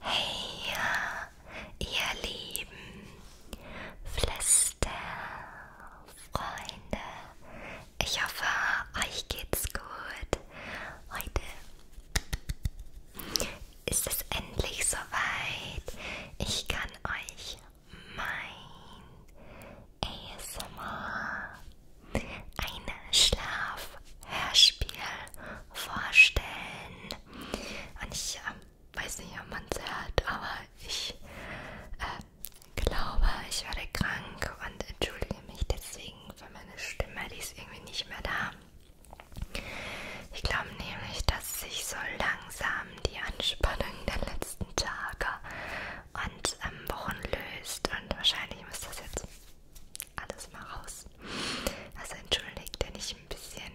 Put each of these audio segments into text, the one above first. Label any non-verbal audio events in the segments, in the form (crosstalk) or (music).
Hey, ihr lieben Flüsterfreunde, ich hoffe, euch geht's gut. Heute ist es endlich soweit. Ich kann euch mein ASMR ein Schlafhörspiel vorstellen. Und ich äh, weiß nicht, ob man es hört, aber ich äh, glaube, ich werde krank und entschuldige mich deswegen für meine Stimme, die ist irgendwie nicht mehr da. Ich glaube nämlich, dass sich so langsam die Anspannung der letzten Tage und ähm, Wochen löst. Und wahrscheinlich muss das jetzt alles mal raus. Also entschuldigt, wenn ich ein bisschen,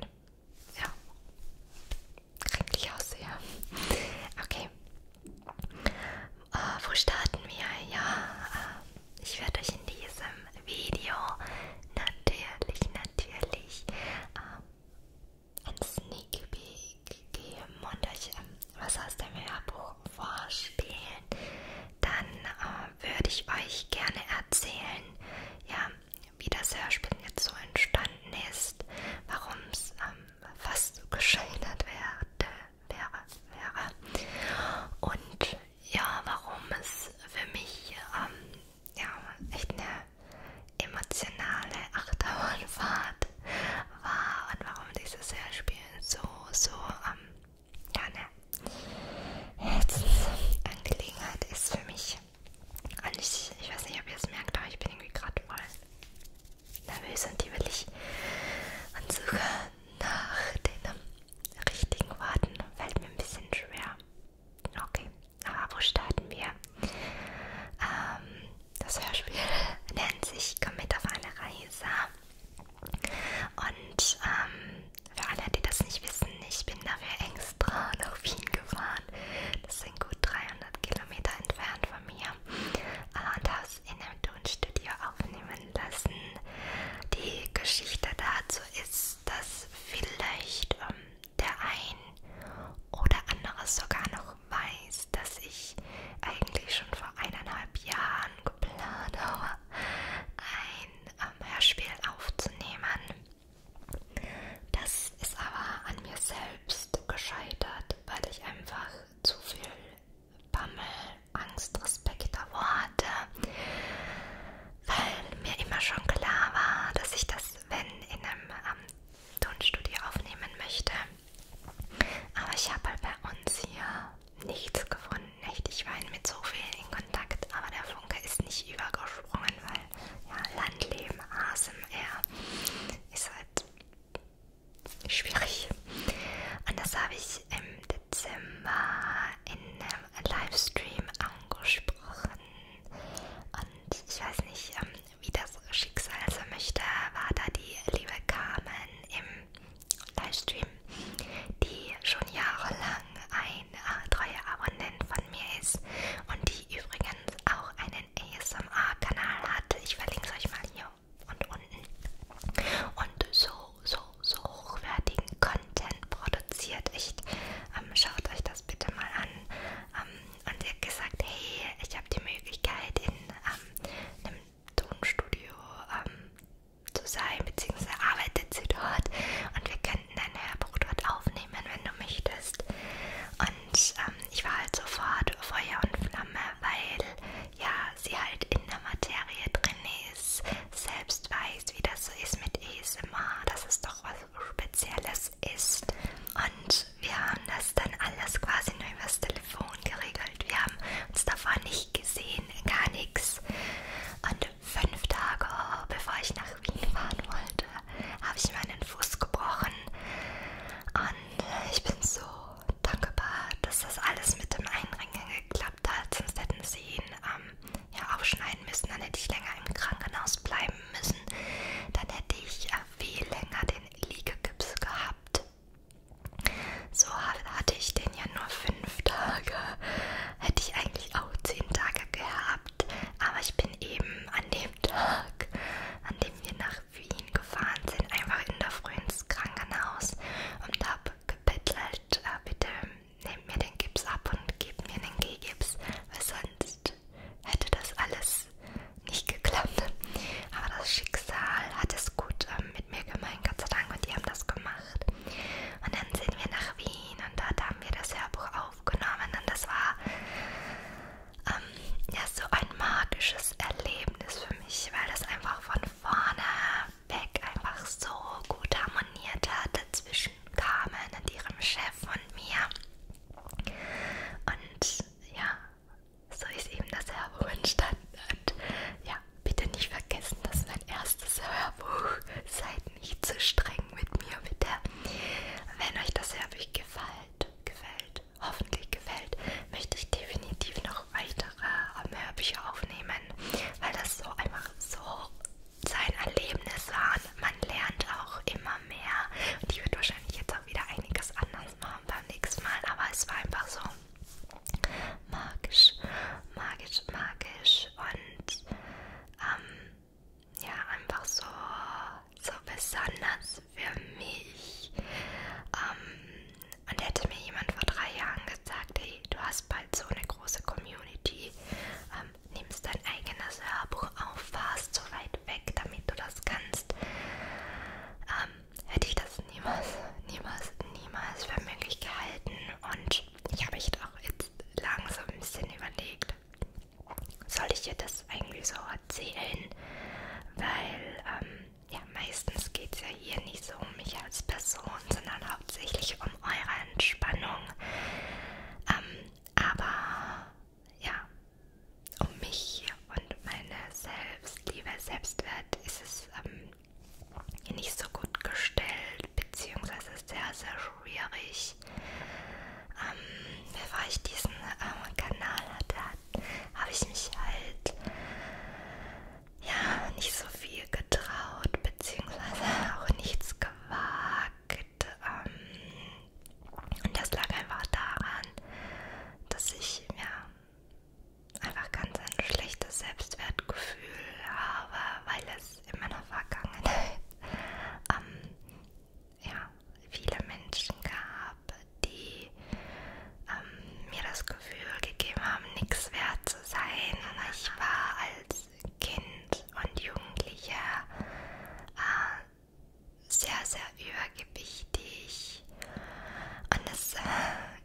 ja, kränklich aussehe. Okay. Äh, wo starten wir? Ja, äh, ich werde euch in diesem Video natürlich, natürlich äh, ein Sneak Peek gegeben und euch ähm, was aus dem Hörbuch vorspielen, dann äh, würde ich euch gerne erzählen, ja, wie das Hörspiel jetzt so entstanden ist, warum es ähm, fast so geschildert werde, wäre, wäre und ja, warum es für mich ähm, ja, echt eine emotionale Achterbahnfahrt war und warum dieses Hörspiel so, so, ähm, ja, ne, Herzensangelegenheit ist für mich. Und ich, ich weiß nicht, ob ihr es merkt, aber ich bin irgendwie gerade voll nervös und die will ich und suche nach den ähm, richtigen Worten. Fällt mir ein bisschen schwer. Okay, aber wo starten wir? Ähm, das Hörspiel (laughs) nennt sich Komm mit auf eine Reise. Und ähm, für alle, die das nicht wissen, ich bin dafür extra nach Wien gefahren. Das sind gut 300 Kilometer entfernt von mir. Und habe es in einem Tonstudio aufnehmen lassen. Die Geschichte dazu ist, dass vielleicht ähm, der ein oder andere sogar noch weiß ist, dass ich eigentlich schon vor eineinhalb Jahren geplant habe, ein ähm, Hörspiel aufzunehmen. Das ist aber an mir selbst gescheitert, weil ich einfach zu viel Bammel, Angst, Respekt davor hatte, weil mir immer schon klar war, dass ich das, wenn in einem ähm, Tonstudio aufnehmen möchte, aber ich habe halt bei uns hier nichts gefunden. Echt, ich war mit so vielen in Kontakt, aber der Funke ist nicht übergesprungen, weil ja, Landleben, ASMR ist halt schwierig. Und das habe ich im Dezember in einem Livestream angesprochen. Und ich weiß nicht, ähm, wie das Schicksal so möchte, war da die liebe Carmen im Livestream, die schon jahrelang eine äh, treue Abonnentin von mir ist und die übrigens auch einen ASMR-Kanal hat. Ich verlinke es euch mal hier und unten. Und so, so, so hochwertigen Content produziert. Echt, ähm, schaut euch das bitte mal an. Ähm, und sie hat gesagt, hey, ich habe die Möglichkeit in ähm, einem Tonstudio ähm, zu sein, beziehungsweise arbeitet sie dort und wir könnten ein Hörbuch dort aufnehmen, wenn du möchtest. Und ähm, ich war halt sofort Feuer und Flamme, weil ja sie halt in der Materie drin ist, selbst weiß, wie das so ist mit ESMR, das ist doch was Spezielles es ist. Und wir haben das dann alles quasi nur über das Telefon geregelt. Wir haben uns davor nicht gesehen, gar nichts. Und fünf Tage oh, bevor ich nach Wien fahren wollte, habe ich meinen Fuß gebrochen. Und ich bin so dankbar, dass das alles mit dem Einringen geklappt hat. Sonst hätten sie ihn ähm, ja aufschneiden müssen. Dann hätte ich länger im Krankenhaus bleiben müssen. Dann hätte ich äh, viel länger den Liegegips gehabt. So hatte ich den ja nur fünf Tage. Hätte ich eigentlich auch zehn Tage gehabt. Aber ich bin eben an dem Tag, an dem wir nach Wien gefahren sind, einfach in der Früh ins Krankenhaus und habe gebettelt, äh, bitte nehmt mir den Gips ab und gebt mir den G-Gips, weil sonst hätte das alles nicht geklappt. Aber das Schicksal hat es gut ähm, mit mir gemeint, Gott sei Dank, und die haben das gemacht. Und dann sind wir nach Wien und dort haben wir das Hörbuch aufgenommen und das war ähm, ja so ein magisches Erlebnis für mich, weil das einfach von vorne weg einfach so gut harmoniert hat. Dazwischen kamen und ihrem Chef und mir. Und ja, so ist eben das Hörbuch entstanden. Und ja, bitte nicht vergessen, dass mein erstes Hörbuch (laughs) seid nicht zu streng mit mir, bitte. Wenn euch das Hörbuch gefällt, gefällt, hoffentlich gefällt, möchte ich definitiv noch weitere ähm, Hörbücher aufnehmen, weil das so einfach so sein Erlebnis war. Man lernt auch immer mehr und ich werde wahrscheinlich jetzt auch wieder einiges anders machen beim nächsten Mal, aber es war einfach so magisch, magisch, magisch und ähm, ja, einfach so, so besonders für mich. Ähm, und hätte mir jemand vor drei Jahren gesagt, hey, du hast bald so eine große Community, ähm, nimmst dein eigenes Hörbuch auf, fahrst so weit weg, damit du das kannst. Ähm, hätte ich das niemals, niemals, niemals für möglich gehalten. Und ich habe mich auch jetzt langsam ein bisschen überlegt, soll ich dir das eigentlich so erzählen? Weil, ähm, ja, meistens geht es ja hier nicht so um mich als Person, sondern hauptsächlich um eure Entspannung. Ähm, aber ja, um mich und meine Selbstliebe, Selbstwert ist es ähm, nicht so gut gestellt, beziehungsweise sehr, sehr schwierig. Ähm, bevor ich diesen ähm, Kanal hatte, habe ich mich halt ja nicht so viel getraut, beziehungsweise (laughs) auch nichts gewagt. Ähm, und das lag einfach daran, dass ich ja einfach ganz ein schlechtes Selbstwertgefühl habe, weil es in meiner Vergangenheit (laughs) ähm, ja, viele Menschen gab, die ähm, mir das Gefühl gegeben haben, nichts wert zu sein. Ich war als Kind und Jugendlicher äh, sehr, sehr übergewichtig und es äh,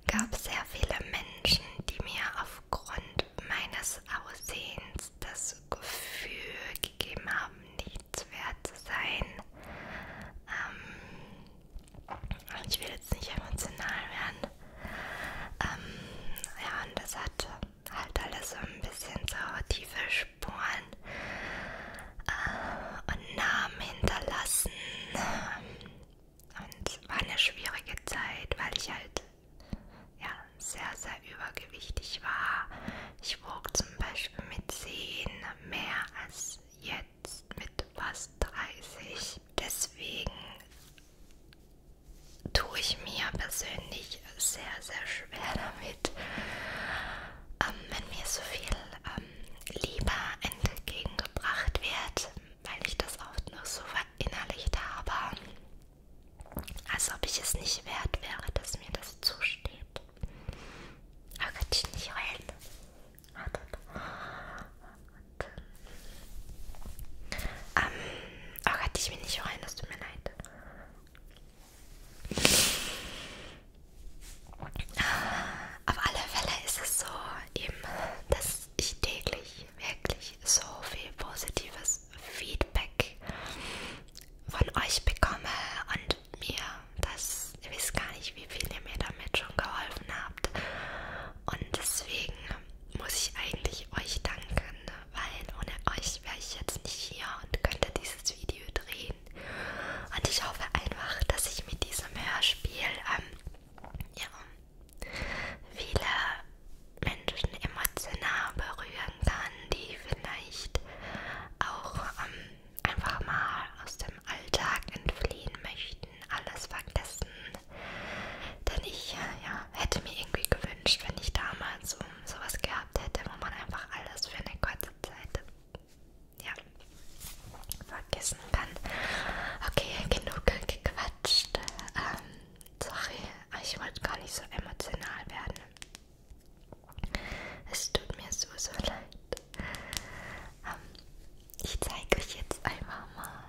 gab sehr viele Menschen, die mir aufgrund meines Aussehens das Gefühl gegeben haben, nichts wert zu sein. Ähm, ich will jetzt nicht emotional werden. Ähm, ja, und das hat halt alles so ein bisschen so tiefe Spuren äh, und Namen hinterlassen. Und es war eine schwierige Zeit, weil ich halt ja, sehr, sehr übergewichtig war. Ich wog zum Beispiel mit 10 mehr als jetzt mit fast 30. Deswegen tue ich mir persönlich sehr, sehr schwer damit, ähm, wenn mir so viel ähm, Liebe entgegengebracht wird, weil ich das oft nur so verinnerlicht habe, als ob ich es nicht wert wäre, dass mir das zusteht. Aber kann ich nicht heulen. Ah, ähm, oh Gott, ich will nicht heulen, das tut mir leid. Auf alle Fälle ist es so, eben, dass ich täglich wirklich so viel positives Feedback von euch bekomme und mir das, ihr wisst gar nicht, wie viel ihr mir damit schon geholfen habt. Und deswegen muss ich eigentlich euch danken weil ohne euch wäre ich jetzt nicht hier und könnte dieses Video drehen. Und ich hoffe einfach, dass ich mit diesem Hörspiel ähm, ja, viele Menschen emotional berühren kann, die vielleicht auch ähm, einfach mal aus dem Alltag entfliehen möchten, alles vergessen. Denn ich äh, ja, hätte mir irgendwie gewünscht, wenn ich damals um, sowas gehabt hätte, wo man einfach alles für eine kurze Zeit ja, vergessen kann. Okay, genug gequatscht. Ähm, sorry, ich wollte gar nicht so emotional werden. Es tut mir so, so leid. Ähm, ich zeige euch jetzt einfach mal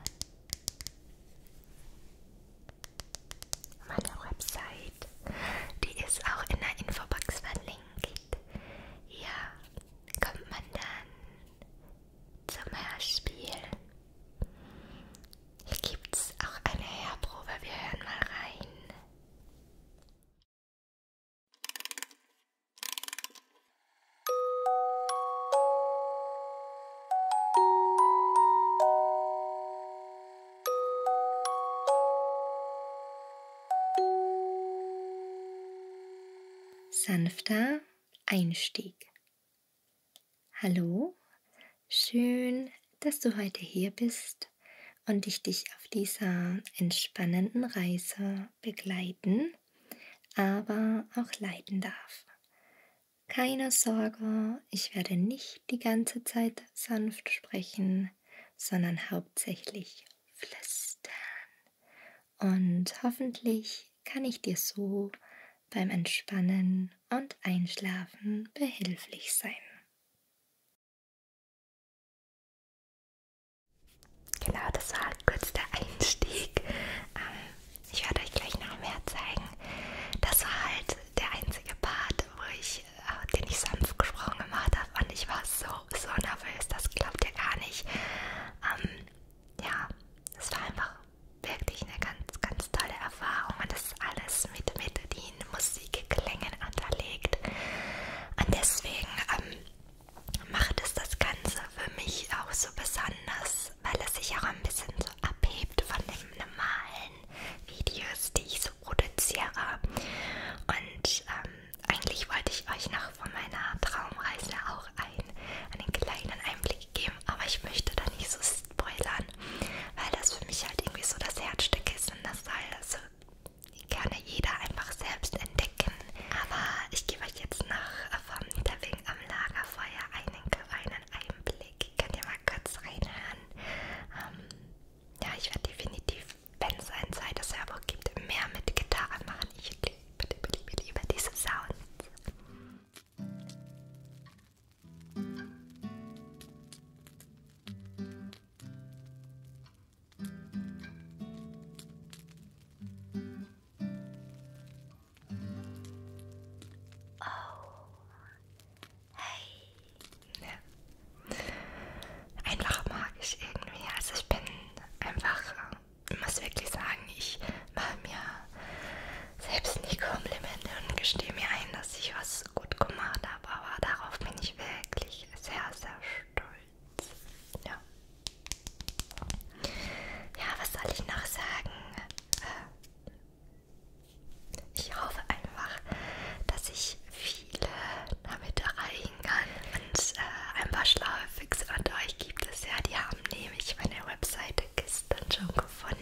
meiner Website. Die ist auch in der Infobox verlinkt. Ja, kommt man dann zum Hörspiel. Hier gibt es auch eine Hörprobe. Wir hören mal rein sanfter Einstieg. Hallo, schön, dass du heute hier bist und ich dich auf dieser entspannenden Reise begleiten, aber auch leiten darf. Keine Sorge, ich werde nicht die ganze Zeit sanft sprechen, sondern hauptsächlich flüstern. Und hoffentlich kann ich dir so beim Entspannen und Einschlafen behilflich sein. Genau, das war kurz der Einstieg. Ähm, ich werde euch gleich noch mehr zeigen. Das war halt der einzige Part, wo ich, äh, den ich sanft gesprochen gemacht habe und ich war so, so nervös, das glaubt ihr gar nicht. Ähm, ja, es war einfach wirklich eine ganz, ganz tolle Erfahrung und das ist alles mit Melodien, Musikklängen unterlegt. Und deswegen ähm, macht es das Ganze für mich auch so besonders ist, weil es sich auch ein bisschen so abhebt von den normalen Videos, die ich so produziere. Und ähm, eigentlich wollte ich euch noch von meiner Traumreise auch ein, einen kleinen Einblick geben, aber ich möchte da nicht so spoilern, weil das für mich halt irgendwie so das Herzstück ist und das soll so gerne jeder einfach selbst entdecken. Aber ich gebe euch jetzt noch vom Tapping am Lagerfeuer einen kleinen Einblick. Ich kann ja mal kurz reinhören. Ähm, ja, ich werde definitiv, wenn es ein zweites Hörbuch gibt, mehr mit Gitarren machen. Ich liebe, liebe, liebe, liebe diese Sounds. Oh. Hey. Ja. Einfach magisch irgendwie. Also ich bin einfach, äh, muss wirklich sagen, ich mache mir selbst nie Komplimente und gestehe mir ein, dass ich was gut gemacht habe. Aber darauf bin ich wirklich sehr, sehr stolz. Ja. Ja, was soll ich noch sagen? Äh, ich hoffe einfach, dass ich viele damit erreichen kann und äh, ein paar schlaue Fixe unter euch gibt es ja. Die haben nämlich meine Webseite gestern schon gefunden.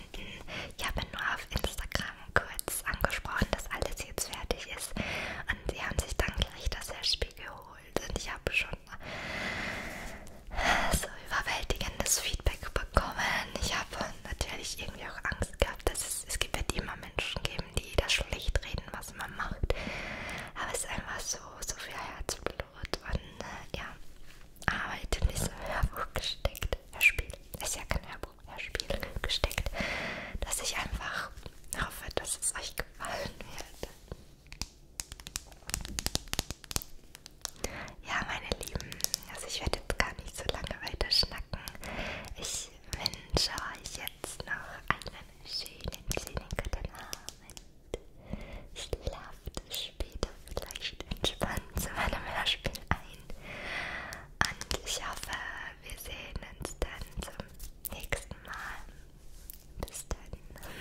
Ich habe nur auf Instagram kurz angesprochen, dass alles jetzt fertig ist und sie haben sich dann gleich das Hörspiel geholt und ich habe schon so überwältigendes Feedback bekommen. Ich habe natürlich irgendwie auch Angst gehabt, dass es, es gibt wird immer Menschen geben, die das schlecht reden, was man macht. Aber es ist einfach so, so viel Herzblut und äh, ja, Arbeit in diesem Hörbuch gesteckt. Hörspiel, ist ja kein Hörbuch, Hörspiel gesteckt, dass ich einfach hoffe, dass es euch gefallen wird. Ja, meine Lieben, also ich werde jetzt gar nicht so lange weiter schnacken. Ich wünsche euch jetzt noch einen schönen, schönen guten Abend. Schlaft später vielleicht entspannt zu meinem Hörspiel ein. Und ich hoffe, wir sehen uns dann zum nächsten Mal. Bis dann.